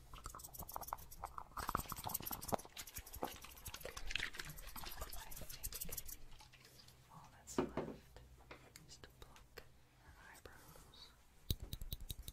all that's left is to pluck her eyebrows. All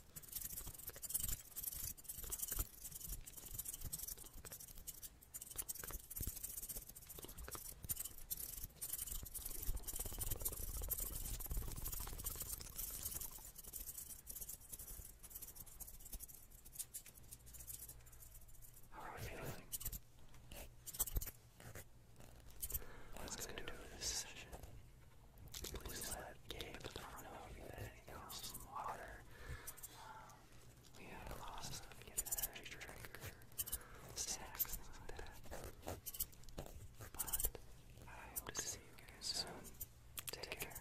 How are we feeling? What's going to do in this session? Please let Gabe know everything you know, some water. Um, we had a lot of stuff, you I hope to see you again soon. Take care.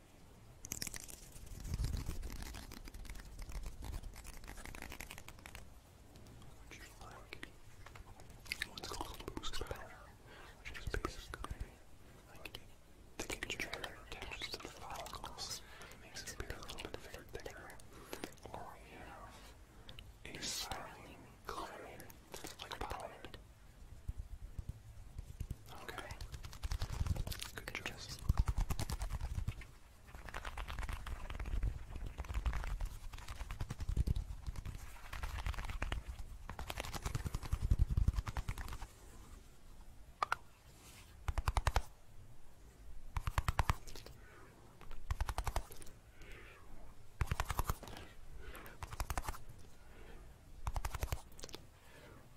Which is like what's called boost powder, which is basically like thick gel to the follicles, makes it appear a little bit thicker. a silene coloring, like pollen. Okay. okay. Good, Good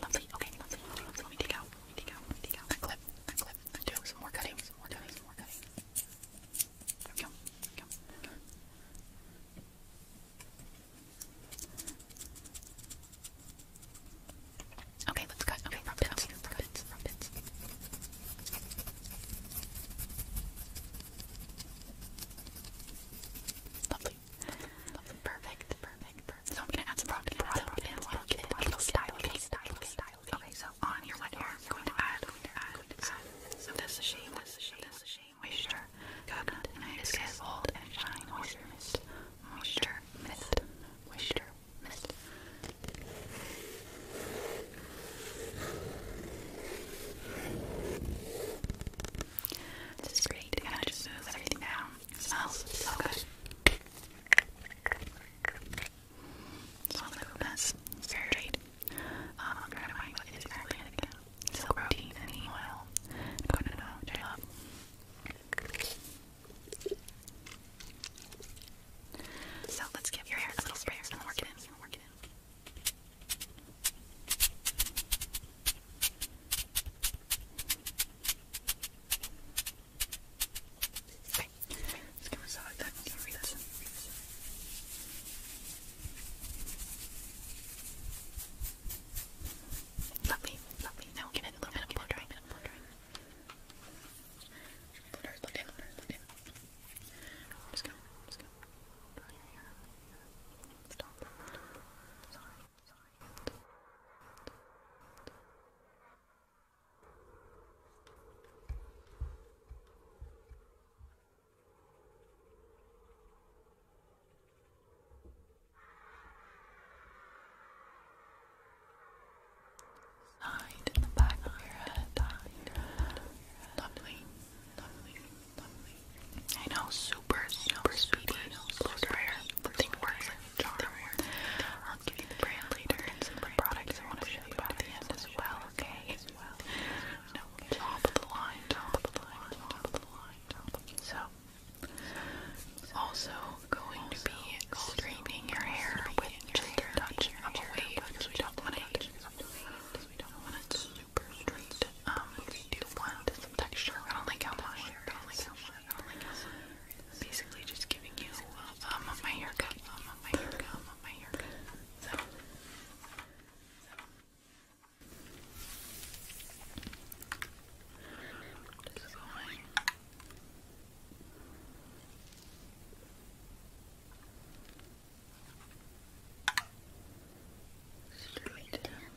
Lovely. Okay, lovely. Lovely. Let me take out. Let me take out. Let me take out that clip. That clip it. And do some more cutting, some more cutting, some more cutting. There we Okay, let's cut. Okay, rub it, okay, rub it, rub it. Lovely. Lovely. Perfect perfect, perfect. So I'm gonna add some product and product and product and product style, okay, style, style. Okay, so on your wet hair, I'm going to add, going to add, going to add some this is shame, this is shame, this is shame, moisture, coconut, and I just get old and shine, moisture, mist, moisture, mist, moisture, mist. This is great, and I just smooth everything down smells oh, so good. It smells like the best. very great. Um, granite it is organic. It's a protein and oil. No, no, no, which I love. So let's give your hair a little sprayer and work it in. Work it in. Okay, let's give us out that. Give me this. Lovely, lovely. Now we'll give it a little bit of blood drying. Blood in, blood in, blood in. Just go, just go. Dry your hair. Stop. Sorry, sorry. Sorry. Side in the back of your head. Lovely. Lovely. Lovely. I know, super, super speedy. Blow dryer. The thing works i am give the brand later some products I want to show you at the end as well, okay? top of the line, top of the line, top of the line, So, also going to be straightening your hair with just a touch of a do want it we don't want it um, some texture. I like how much. I is. Basically, just giving you uh, um my haircut, um my haircut, um my haircut. So. so. Just going. Straight down.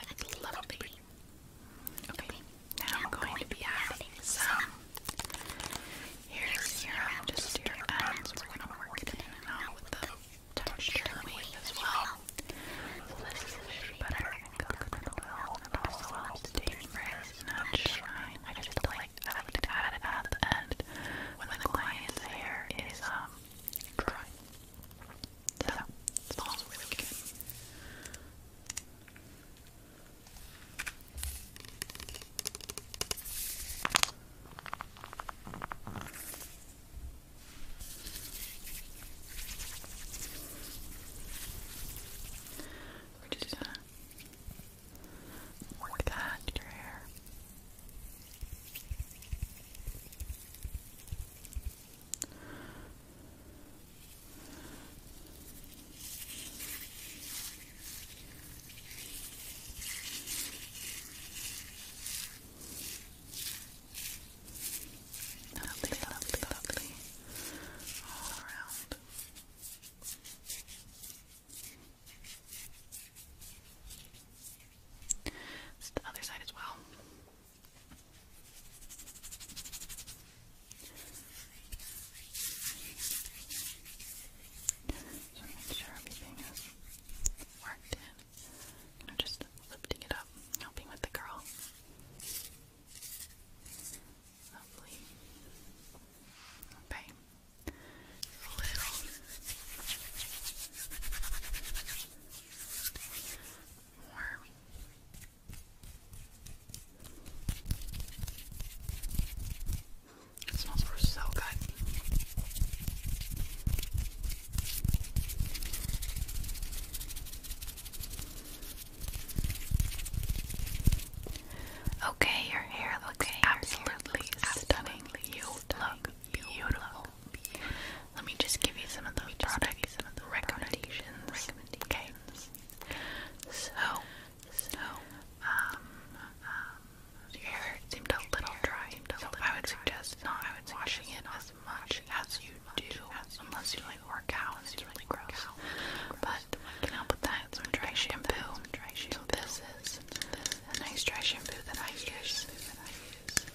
I'd am going to be adding some. Here's just to your ends. we going to work it in and out with the texture as well. So this is a better than coconut oil, and it also helps to take frizz, not shine. I just like I like to add it at the end when the client's hair is um dry. So that's We're just gonna uh, work that into your hair. Lovely, lovely, lovely. All around. It's the other side as well. So You just lifting it up, helping with the curl. Lovely. Okay. little. More it smells so good. Okay, your hair looks absolutely, stunning. You look beautiful. Let me just give you some of those product some of the recommendations. Okay. So, so um, um, um, your hair seemed a little dry. so I would suggest not washing it as much as you do, as you unless you like work out. It's really gross. gross. But can help with that. some dry shampoo. this is a nice dry shampoo that I use. That I use.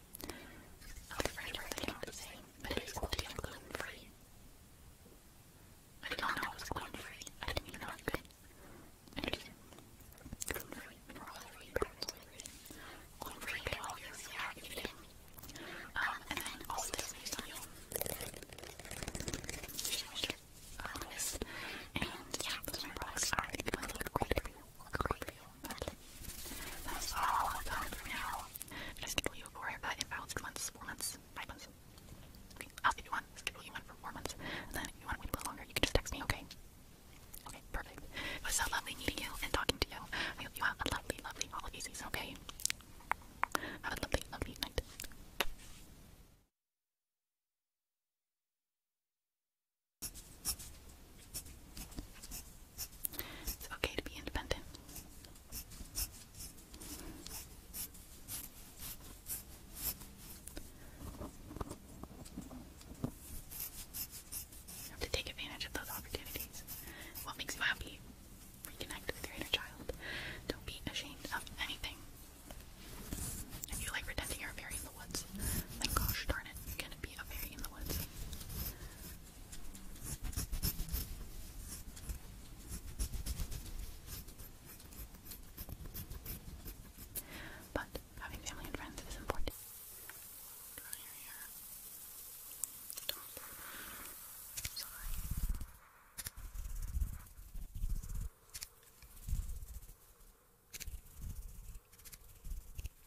i am afraid of the accountancy, but it is quality and gluten-free. I did not know it was gluten-free. I didn't even know it could. Interesting. Gluten-free, mineral-free, protein-free. Gluten-free, but obviously I can eat it. Um, and then all of this based on your um, list. And yeah, those are my products. Alright, I look great everywhere. Great That's all I've done for now. Should I schedule you for that imbalance for months, four months, five months? I'll give you one. Schedule you one for four months. And then if you want to wait a little longer, you can just text me, okay? Okay, perfect. It was so lovely meeting you and talking to you. I hope you have a lovely, lovely holiday season, okay? Have a lovely, lovely night. It's okay to be independent. to take advantage of those opportunities. What makes you happy? Reconnect with your inner child. Don't be ashamed of anything. If you like pretending you're a fairy in the woods, then gosh darn it, you're gonna be a fairy in the woods. But having family and friends is important.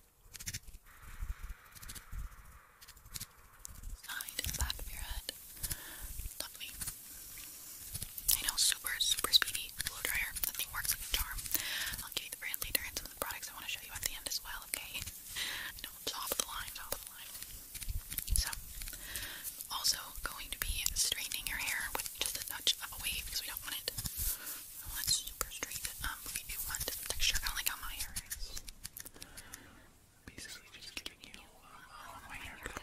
Side the back of your head. Lovely. I know, super, super speedy blow dryer. That thing works like charm. I'll give the brand later some of the products I want to show you at the end as well, okay? I know, top the line, top the line. So, also going to be straightening your hair with just a touch of a wave because we don't want it I want super straight, um, we do one different texture, kind like how my hair is. Basically just giving you, um, my haircut.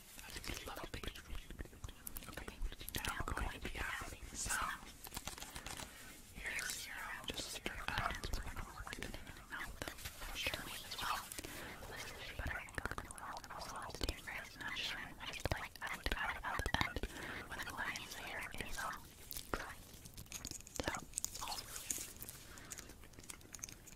lovely. Okay, now I'm going to be having some here's zero just stir up. We're gonna work it out the moisture as well. This is butter and coconut oil. I also love to do fries and I'm sure I just like out, out, out, out when the lion's hair is all dry. So, all really good.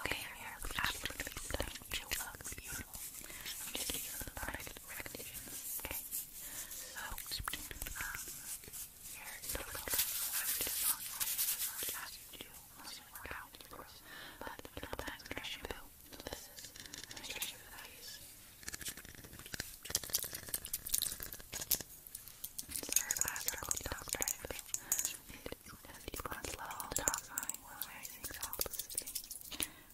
Okay, I'm here. Absolutely stunning. She looks beautiful. I'm just giving you the product recognition. Okay. So, um, your silicone, I would just not, I would just not ask you to do must but the administration bill. This is administration values. Sir, I struggle to talk to him. It is one level top line was raising toxicity.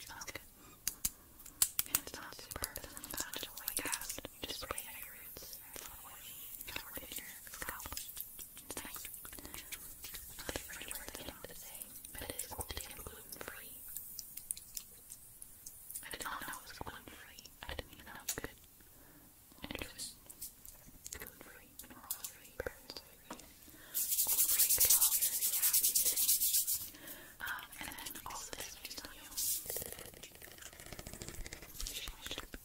Sounds It's not super, but it's not just like cast. You just spray your roots. Thanks. I really work at the but it is all day gluten free. I did not know it was gluten free. I didn't even know it was good. it was gluten free, mineral free, parents gluten free, calories, and then all of this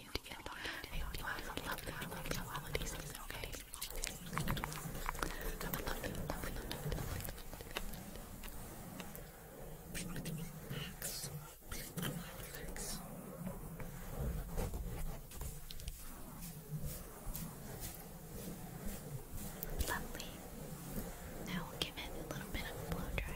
talking I hope you have some lovely, lovely holiday season, okay? Have a lovely, lovely, lovely, lovely, Relax. Relax. Lovely. Now give it a little bit of blow dry.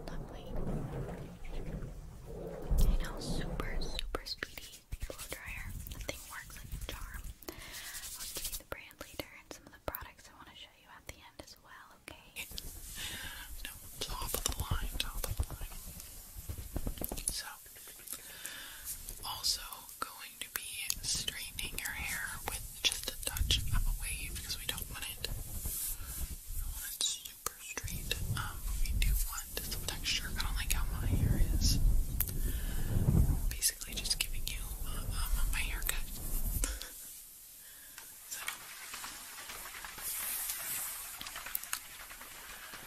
Lovely. I know, super, super speedy blow dryer. The works like a charm. I'll give you the brand leader and some of the products I want to show you at the end as well, okay? No, top of the line, top of the line. So, also, going to be straightening your hair with just a touch of a wave because we don't want it, we don't want it super straight. Um, we do want some texture, kind of like how my hair is. Basically, just giving you my um, haircut.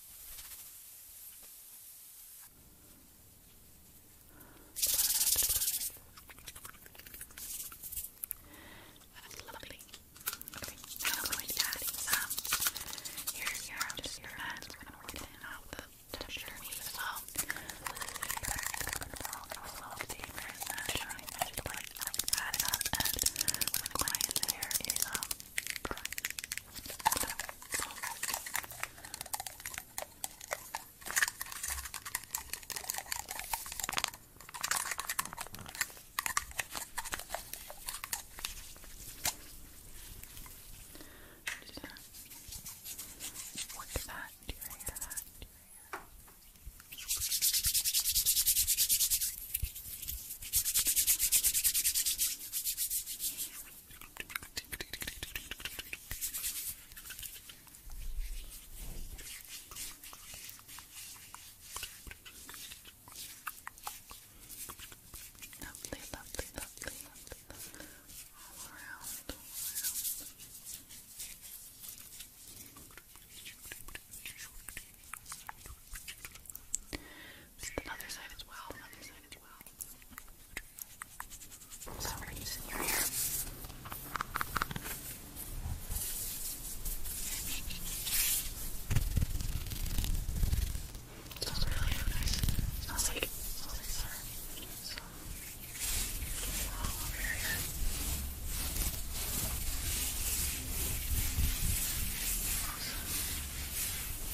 That's lovely. Okay, now I'm going to add some. Here's your just your hand. We're gonna work it out the texture meat as well. We're gonna go in there is um what is that? Do you hear that? Do you hear that? Lovely, lovely, lovely, lovely, lovely. All around, all around the other side as well, other side as well. So we're your hair. smells really, really nice. smells like, it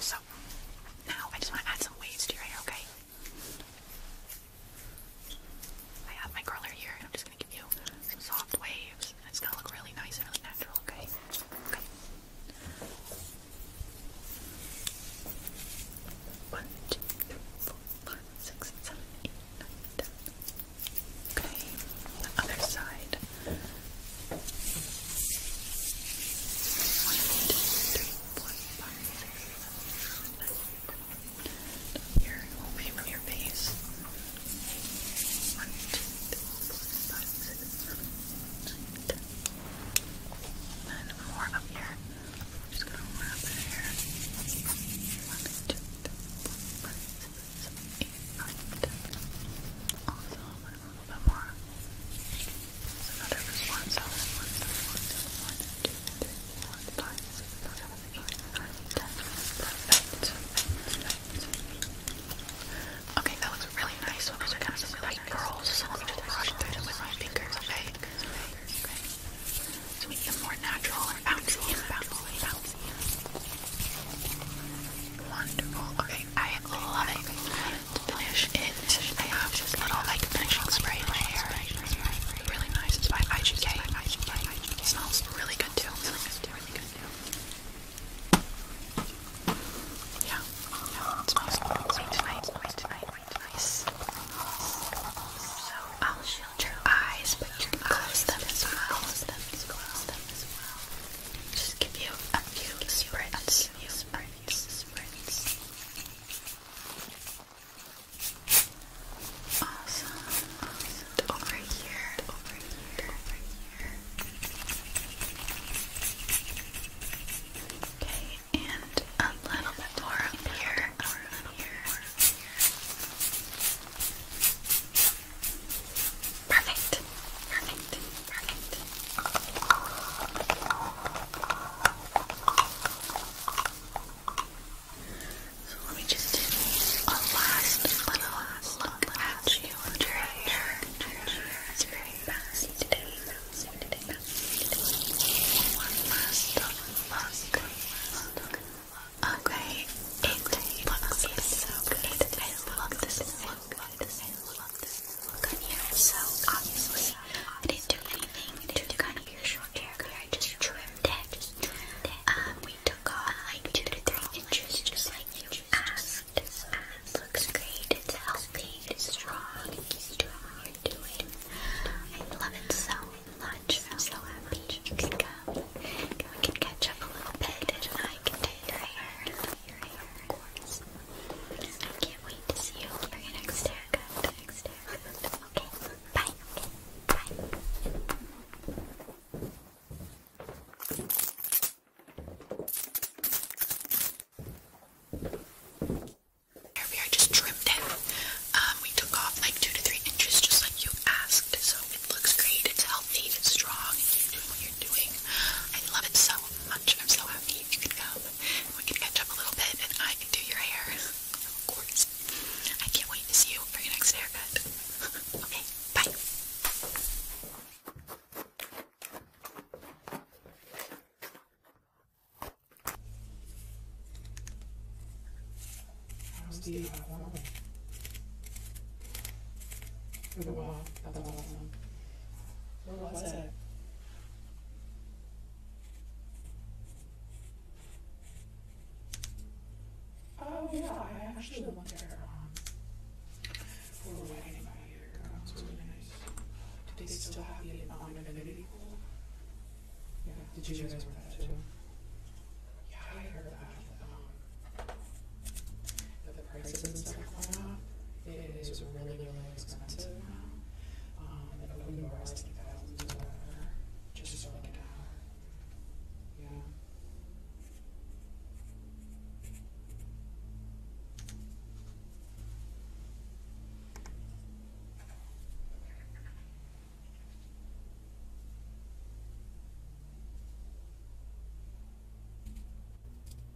So, now I just want to add some waves to your hair, okay? I have my curler here, and I'm just gonna give you some soft waves, it's gonna look really nice and really natural, okay? One, two, three, four, five, six, seven, eight, nine, ten. Okay, other side. One, two, three, four, five, six, seven, eight, nine, here, it from your face. One, two, three, four, five, six, seven, eight, nine, ten. And more up here. just gonna wrap it here. One, two, three, four, five, six, seven, eight, nine, ten. Awesome one a Okay, that looks really nice. Well, those are kind of really like curls, so let me just brush through them with my fingers, okay? Okay. To make more natural bouncy bouncy bouncy. Wonderful. Okay, I I love it. finish it, I have this little like finishing spray in my hair. Really nice. It's by IGK. smells really good too. Yeah. Yeah. It smells really tonight. Nice. Nice. So I'll shield your eyes, but you can close them as well. Close them Close them just give you a few sprints, a few sprints, sprints. Awesome. awesome. And over here, and over here, and over here. Okay, and a little bit more up here, a little bit more up here. Perfect. Perfect. Perfect. So let me just do a last little last look, look at you. It's very fast today. Fast today. Fast today. One last look. Look. Okay, it looks so good. I love this. Look on you. So obviously, I didn't do anything to kind of your short hair. I just trimmed it. Um, we took off like two to three inches, just like you asked. It looks great. It's healthy. It's strong. It keeps doing what you're doing. I love it so much. I'm so happy you can come. We can catch up a little bit, and I can take your hair. I can't wait to see you for your next Next haircut. Okay, bye. Okay, bye. Here we just trimmed it. Um, we took off like two to three inches, just like you asked. So it looks great. It's healthy. It's strong. It's doing what you're doing. I love it so much. I'm so happy you can come. We can catch up a little bit and I can do your hair. Of course. I can't wait to see you for your next haircut. okay, bye. Oh, yeah, I actually went there. For a wedding they still have the um, pool? Yeah, did you guys wear that too? Yeah, I heard that. Um, but the prices and stuff went up. It is really, really expensive now. Um, and open bar is like thousands of dollars just for like an hour. Yeah.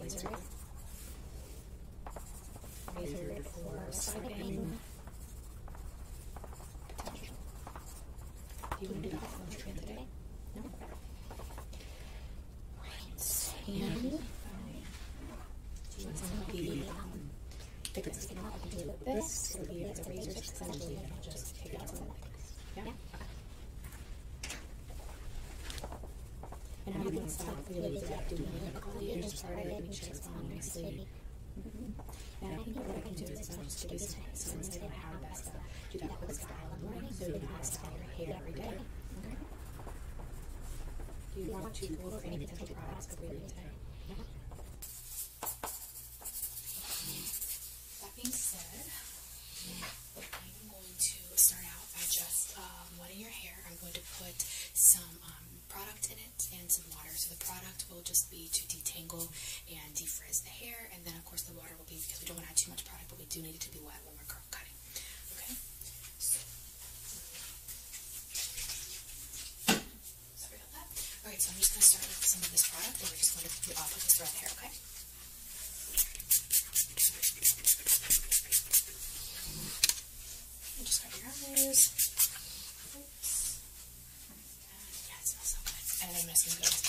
Razor. Razor for sliding. you want to do that lunch train today? No? Right. the, um, because you can this, it'll be as a razor, essentially, just take out Yeah? And having been stopped really detecting me and all the others started at me checks my sleep. And I think I can do is not just do this thing, so instead of best stuff, do that quick style in the morning so you style every day. Do you want to go over any potential products before you leave today? That being said, I'm going to start out by just um, wetting your hair. I'm going to put some um, product in it and some water. So the product will just be to detangle and defreeze the hair, and then of course the water will be because we don't want to add too much product, but we do need it to be wet when we're curl cutting. Okay. So, sorry about that. All right, so I'm just going to start with some of this product, and we're just going to do off with this throughout the hair. Okay. And just cover your eyes. Oops. Yeah, it smells so good. And I'm going to some gloves.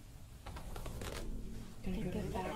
Gonna go, go back. back.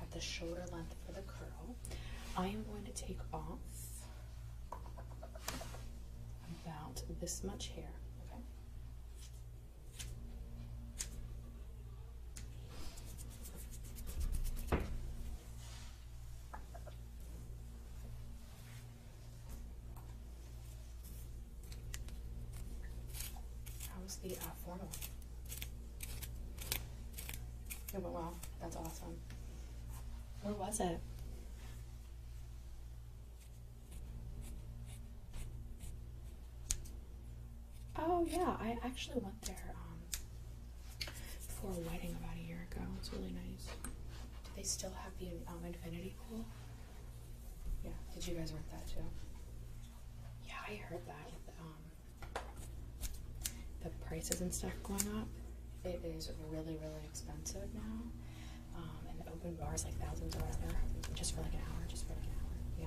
at the shoulder length for the curl. I am going to take off about this much hair. Okay. How's the uh, formal? It went well. That's awesome. Where was it? Oh yeah, I actually went there um, for a wedding about a year ago. It's really nice. Do they still have the um, infinity pool? Yeah. Did you guys rent that too? Yeah, I heard that um, the prices and stuff going up, it is really, really expensive now. Um, and the open bars like thousands or whatever, just for like an hour, just for like an hour. yeah.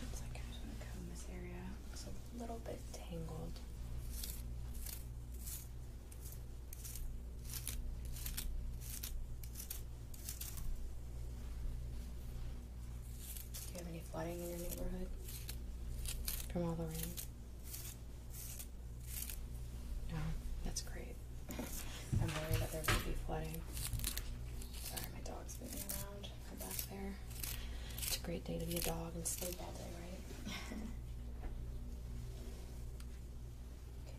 Looks I'm just this area. Looks a little bit tangled. Do you have any flooding in your neighborhood from all the rain? No, that's great. I'm worried that there might be flooding. Sorry, my dog's moving around. i back there. It's a great day to be a dog and sleep all day, right?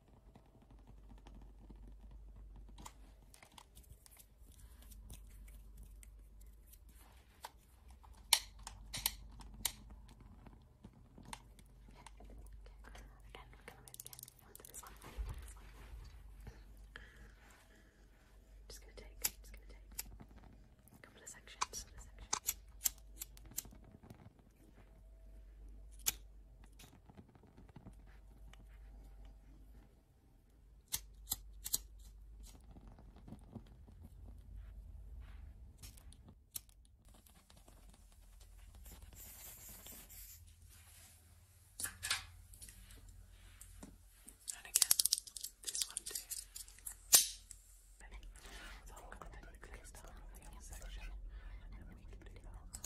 Again, we're gonna move again onto this one, onto this one. I'm just gonna take, just gonna take a couple of sections, couple of sections. And again, this one too. So I'm going to but it could stop in the other section, and we can do that longer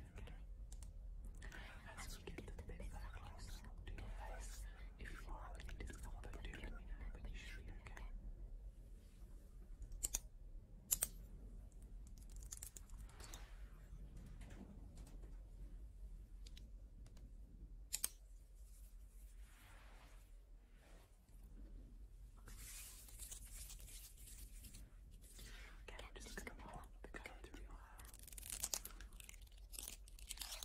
in return. As we get a bit back closer to your face, if you are looking discomfort, do let me know, but you should be okay. Okay. Okay, we're just gonna go on the color to your hair. Okay,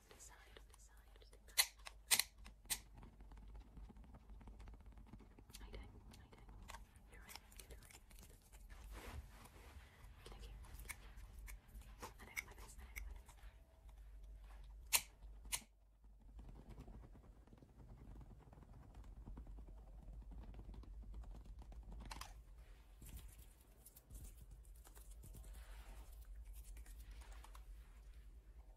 on the side, on the side, on the side. I don't, I don't. You're right, you're right. Okay, okay, okay. I don't want this, I don't want this. Okay,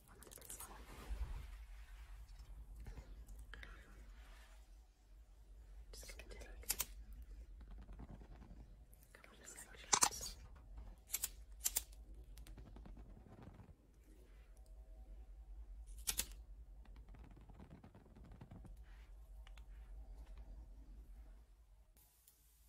Just gonna take a couple of sections. Okay. And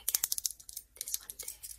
again, this one too. There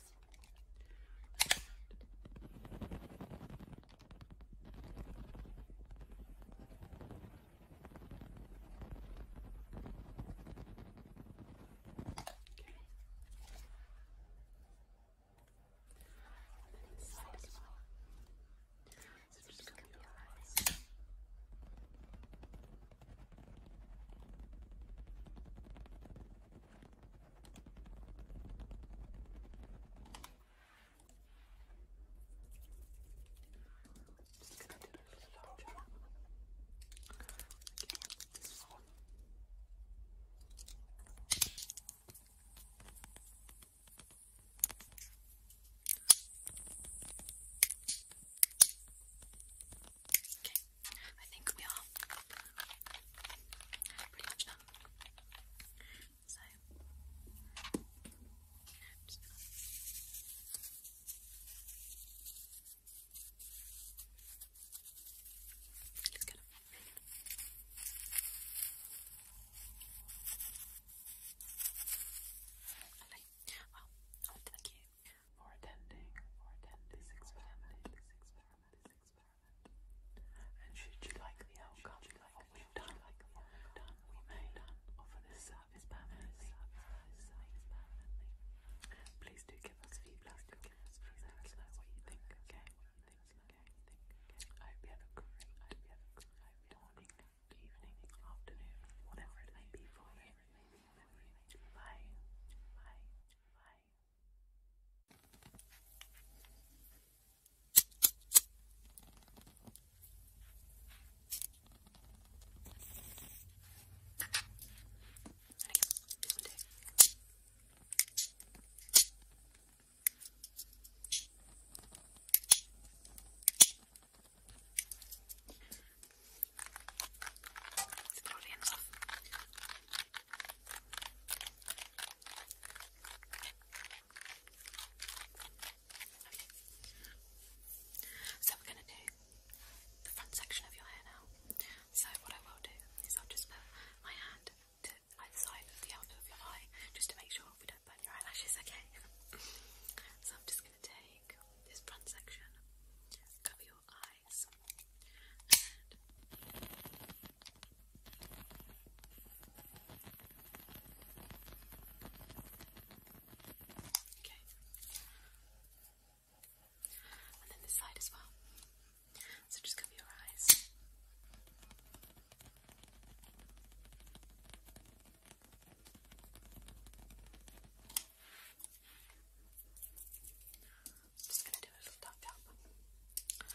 So just gonna be your eyes. Okay. Just going I think we are pretty much done. So, just gonna... Let's get it. Well, thank you for attending, for attending, this experiment. And should you like the outcome like what we've done, we may offer this service Please do give us feedback. Please let us know what you think. Okay, I hope you have a great morning, evening, afternoon, whatever it may be for you. Bye. Bye. Bye. It's totally enough. So we're going to do the front section of your hair now. So what I will do is I'll just put my hand to either side of the outlook of your eye just to make sure we don't burn your eyelashes, okay? so I'm just going to take this front section, cover your eyes, Okay. And then this side as well. So just cover your eyes. just going to do a little tap tap.